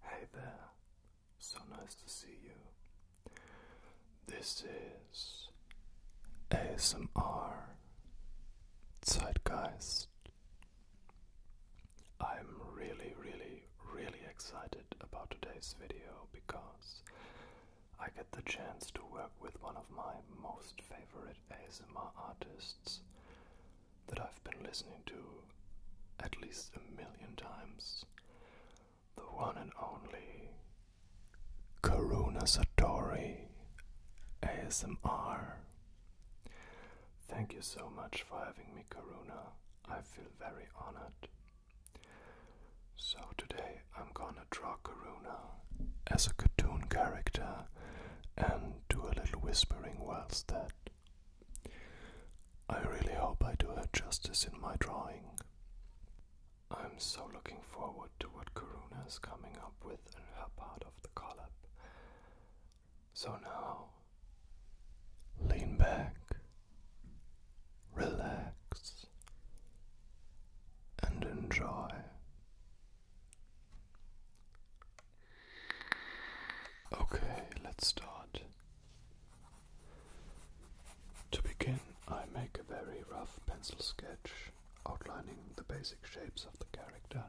Hey there, so nice to see you. This is ASMR Zeitgeist. I'm really, really, really excited about today's video because I get the chance to work with one of my most favorite ASMR artists that I've been listening to at least a million times. The one and only Karuna Satori ASMR. Thank you so much for having me, Karuna. I feel very honored. So today I'm gonna draw Karuna as a cartoon character and do a little whispering whilst that. I really hope I do her justice in my drawing. I'm so looking forward to what Karuna is coming up with in her part of the collab. So now, lean back, relax, and enjoy. Okay, let's start. To begin, I make a very rough pencil sketch outlining the basic shapes of the character.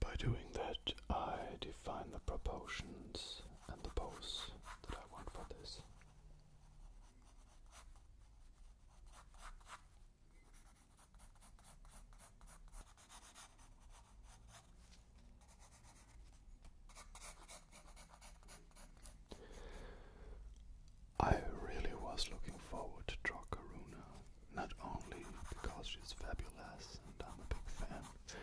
By doing that, I define the proportions and the pose that I want for this. I really was looking forward to Dracaruna, not only because she's fabulous and I'm a big fan,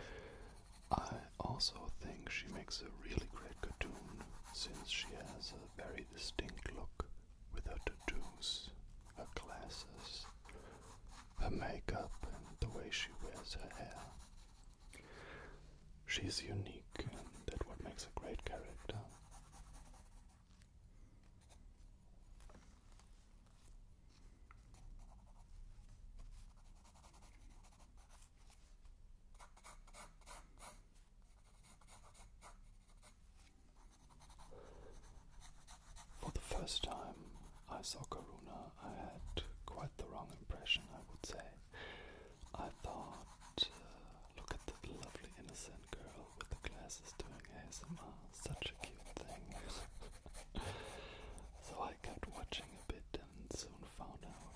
I also think she makes a really great cartoon since she has a very distinct look with her tattoos, her glasses, her makeup, and the way she wears her hair. She's unique, and that's what makes a great character. For the first time I saw Karuna, I had quite the wrong impression, I would say. I thought, uh, look at that lovely innocent girl with the glasses doing ASMR, such a cute thing. so I kept watching a bit and soon found out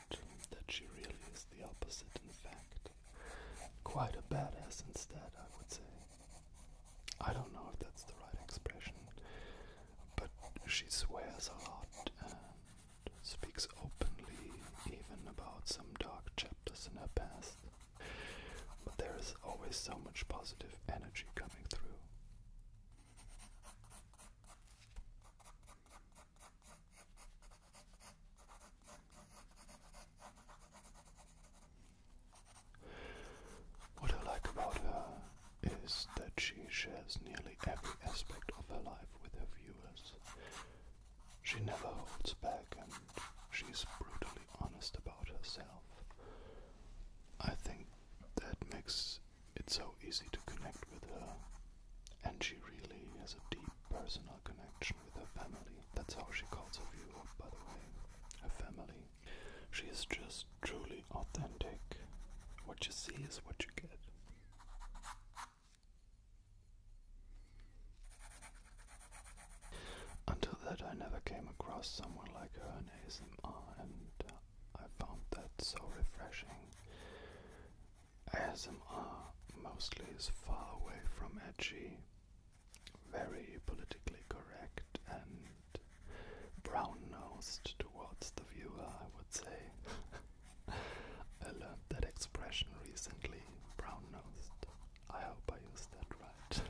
that she really is the opposite, in fact. Quite a badass instead, I would say. I don't know if that's the right expression, but she swears a lot and speaks openly, even about some dark chapters in her past. But there is always so much positive energy coming through. What I like about her is that she shares nearly every aspect of her life with her viewers. She never holds back and she's brutally honest about herself. I think that makes it so easy to connect with her and she really has a deep personal connection with her family. That's how she calls her viewer, by the way. Her family. She is just truly authentic. What you see is what you get. Until that, I never came across someone like her and uh, I found that so refreshing. ASMR mostly is far away from edgy, very politically correct and brown-nosed towards the viewer, I would say. I learned that expression recently, brown-nosed. I hope I used that right.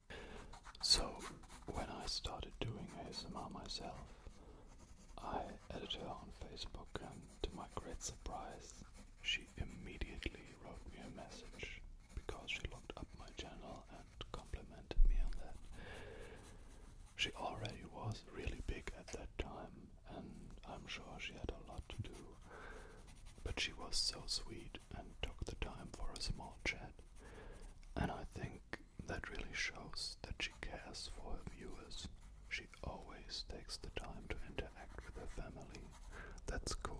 So, when I started doing ASMR myself, I added her on Facebook, and to my great surprise, she immediately wrote me a message because she looked up my channel and complimented me on that. She already was really big at that time, and I'm sure she had a lot to do, but she was so sweet and took the time for a small chat. And I think that really shows that she cares for her viewers. She always takes the time to interact with her family. That's cool.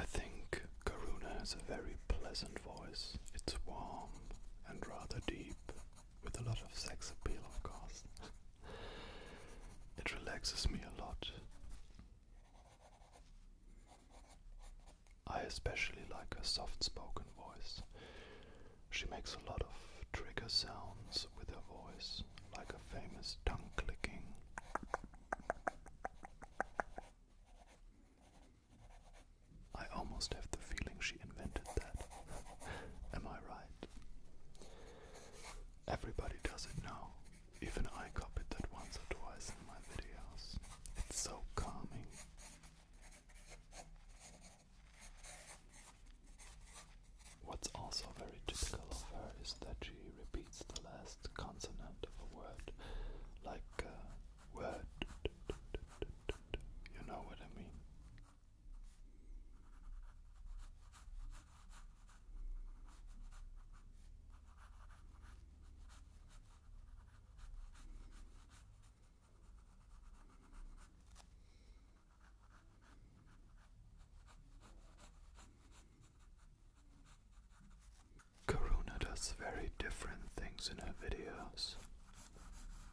I think Karuna has a very pleasant voice. It's warm and rather deep, with a lot of sex appeal, of course. it relaxes me a lot. I especially like her soft spoken voice. She makes a lot of trigger sounds with her voice, like a famous tongue clicking. I almost have the feeling she invented that. Am I right? Everybody does it now. Even I copied that once or twice in my videos. It's so calming. What's also very typical of her is that she repeats the last consonant of a word, like a uh, word. You know what I mean. Karuna does very different things in her videos.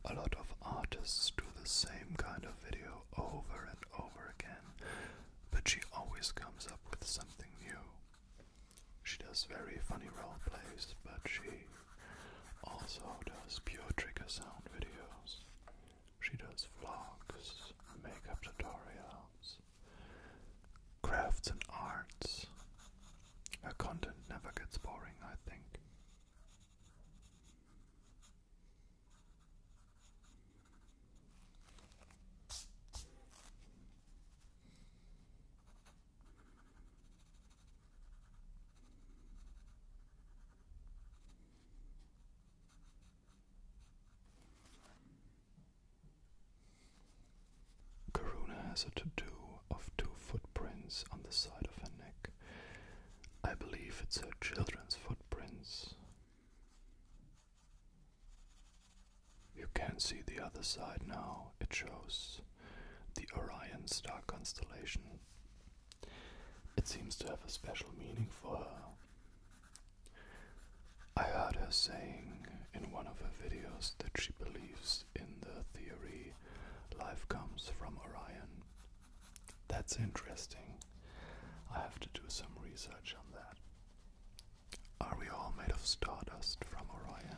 A lot of artists do the same kind of video over and over again, but she always comes up with something new. She does very funny role plays, but she also does pure trigger sound videos. She does vlogs, makeup tutorials, crafts and arts, her content never gets boring, I think. Karuna has a to do of two footprints on the side of her neck. I believe it's her children's footprints. You can see the other side now. It shows the Orion star constellation. It seems to have a special meaning for her. I heard her saying in one of her videos that she believes in the theory Life comes from Orion. That's interesting. I have to do some research on that. Are we all made of stardust from Orion?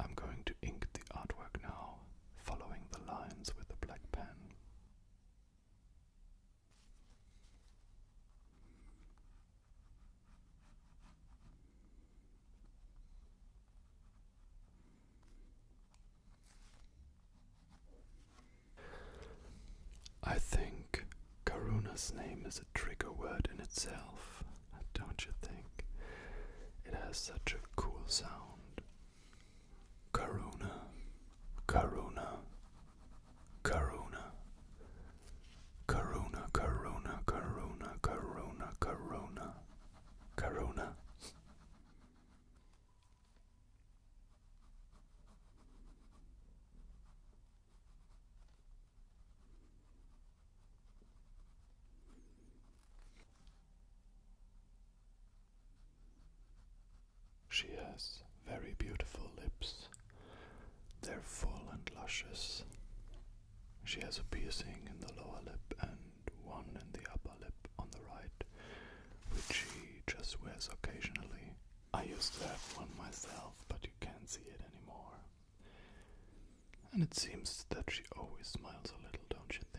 I'm going to ink the artwork now, following the lines with a black pen. I think Karuna's name is a trigger word in itself, don't you think? It has such a cool sound. Karuna, Karuna, Karuna, Karuna, Karuna, Karuna, Karuna, Karuna, Karuna. She has very beautiful lips. They're full and luscious. She has a piercing in the lower lip and one in the upper lip on the right, which she just wears occasionally. I used to have one myself, but you can't see it anymore. And it seems that she always smiles a little, don't you think?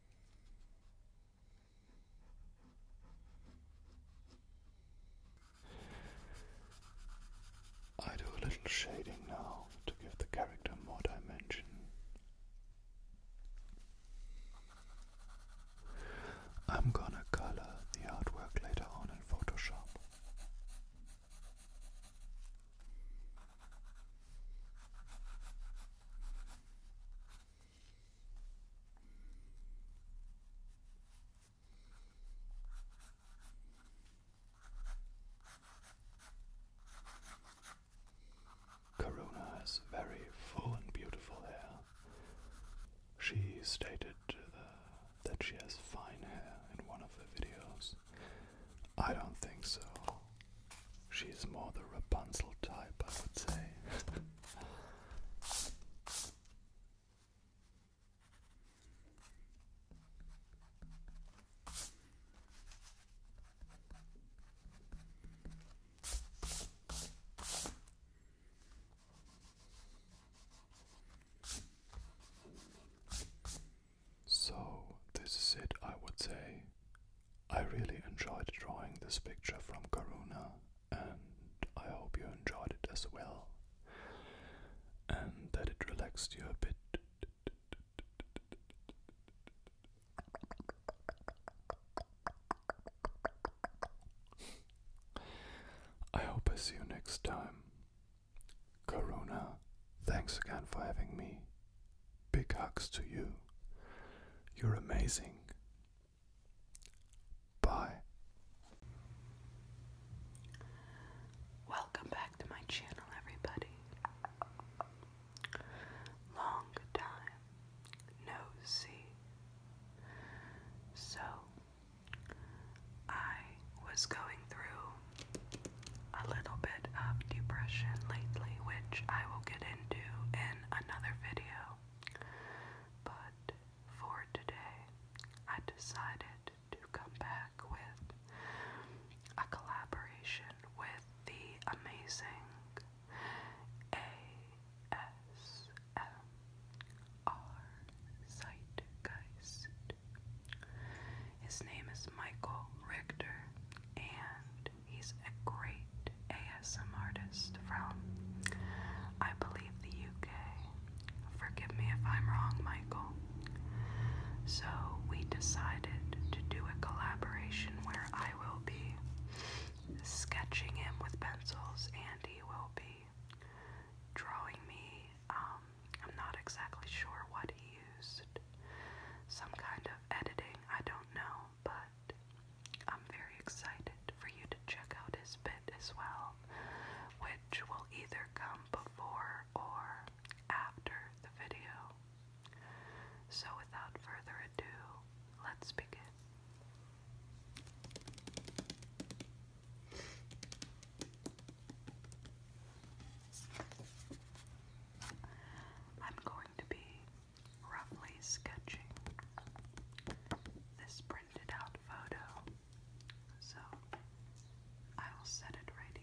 I do a little shading now to give the character more dimension. I'm gonna color the artwork later on in Photoshop. Corona has very full and beautiful hair. She stated that she has fine hair in one of her videos. I don't think so. She's more the Rapunzel type, I would say. So, this is it, I would say. I really enjoyed drawing this picture from Corona, and I hope you enjoyed it as well, and that it relaxed you a bit. I hope I see you next time. Corona, thanks again for having me, Big hugs to you. You're amazing. Bye. Welcome back to my channel, everybody. Long time no see. So, I was going through a little bit of depression lately, which I will get into in another video. But for today, I decided to come back with a collaboration with the amazing ASMR Zeitgeist. His name is Michael Richter, and He's a great ASM artist from, I believe, the UK. Forgive me if I'm wrong, Michael. So we decided to do a collaboration where I will be sketching him with pencils and he will be drawing me. Um, I'm not exactly sure what he used. Some kind of editing, I don't know but I'm very excited for you to check out his bit as well, which will either come before or after the video. So, without further ado, let's begin. I'm going to be roughly sketching this printed out photo. So I will set it right here.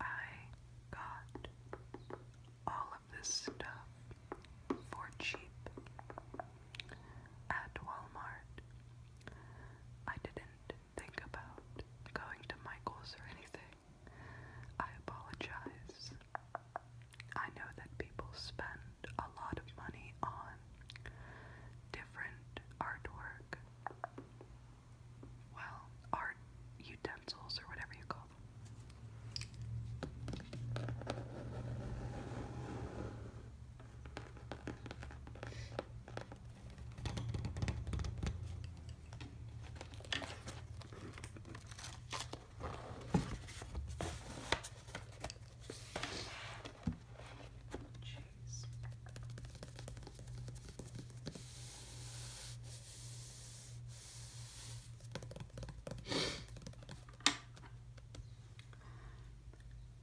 I got all of this stuff for cheap at Walmart. I didn't think about going to Michael's or anything. I apologize. I know that people spend a lot of money on different artwork well, art utensils or whatever you call them.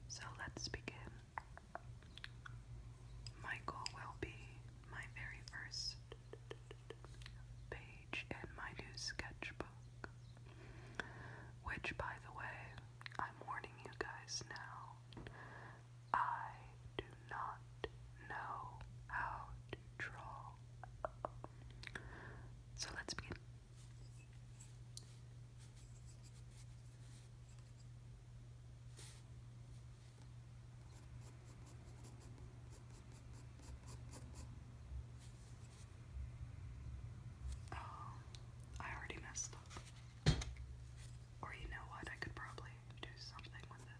So let's begin. My will be my very first page in my new sketchbook, which, by the way, I'm warning you guys now, I do not know how to draw. So let's begin. Oh, I already messed up. Or you know what? I could probably do something with it.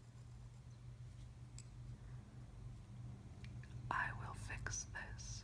I will fix this.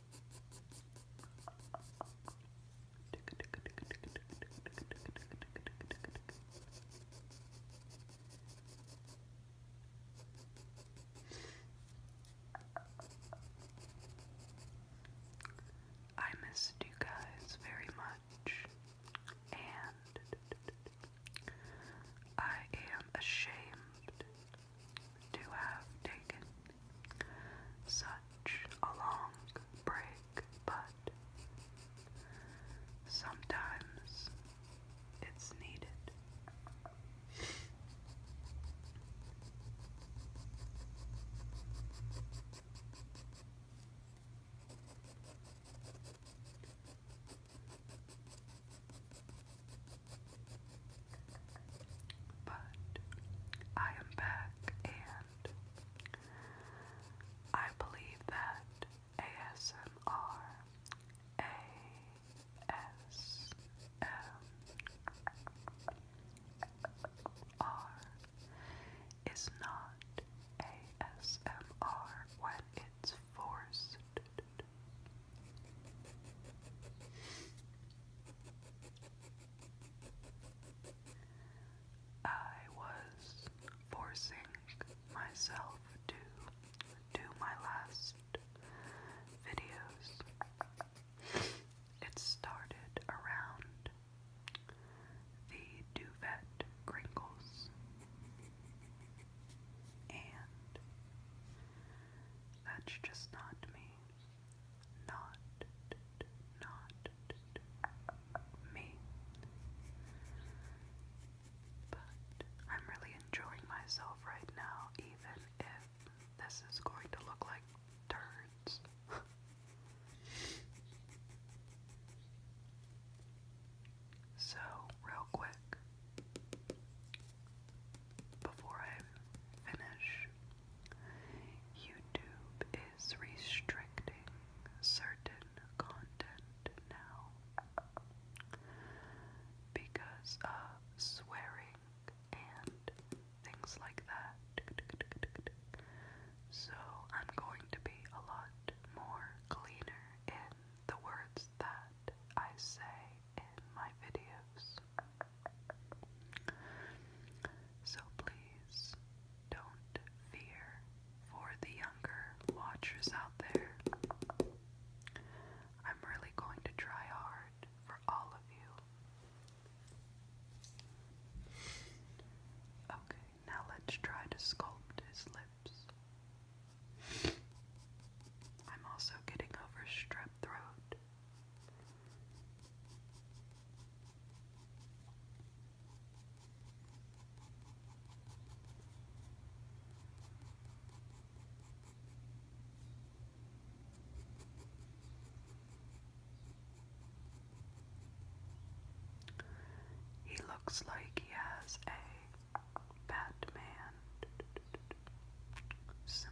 I missed you guys very much, and I am ashamed to have taken such a long break, but sometimes it's needed. But I am back and and I believe that ASMR, ASMR is not ASMR when it's forced. I was forcing myself to do my last videos. It started around the duvet crinkles, and that's just not me not, not me. But I'm really enjoying myself right now, even if this is going to look like turds. so, real quick, before I finish, YouTube is restricting certain content now because of swearing and things like that. So I'm going to be a lot more cleaner in the words that I say in my videos. So please don't fear for the younger watchers out there. I'm really going to try hard for all of you. Okay, now let's try to sculpt his lips. I'm also getting over strep throat. He looks like he has a Batman symbol.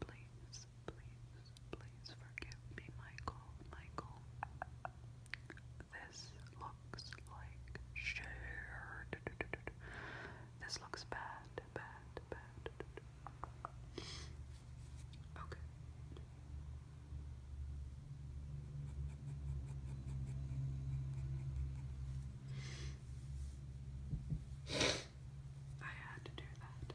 Please, please, please, please forgive me, Michael. Michael, this look like shared. This looks bad, bad, bad. Okay. I had to do that.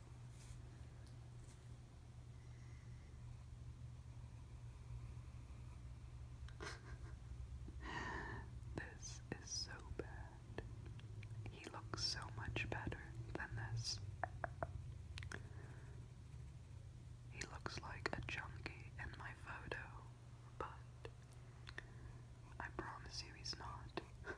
this is so bad. He looks so much better than this. He looks like a junkie in my photo, but I promise you he's not.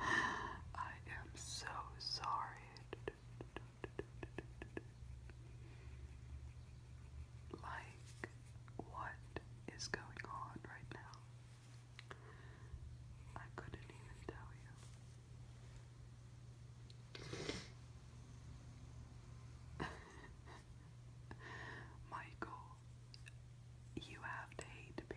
I am so sorry. Like, what is going on right now? I couldn't even tell you. Michael, you have to hate me.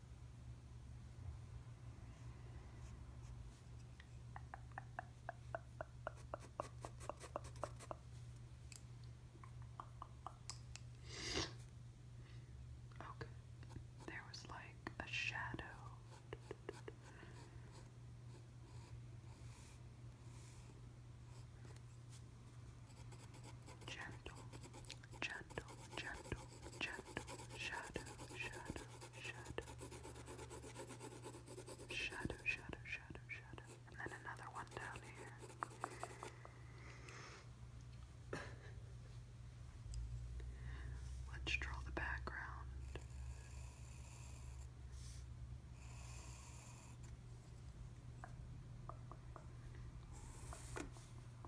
Okay, there was like a shadow gentle, gentle, gentle, gentle shadow, shadow, shadow, shadow, shadow, shadow, shadow, and then another one down here. Let's draw the background.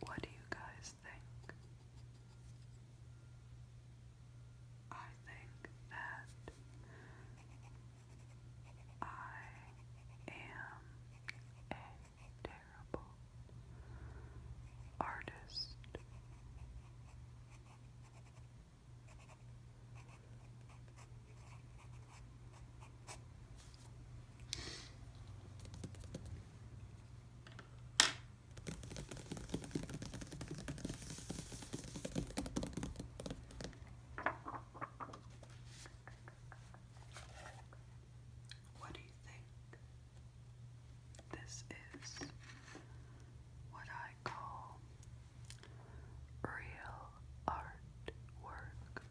What do you guys think? I think that I am a terrible artist. What do you think? This is what I call Real artwork. Oh.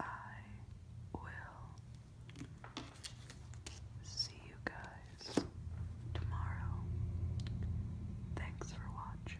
I will see you guys tomorrow. Thanks for watching.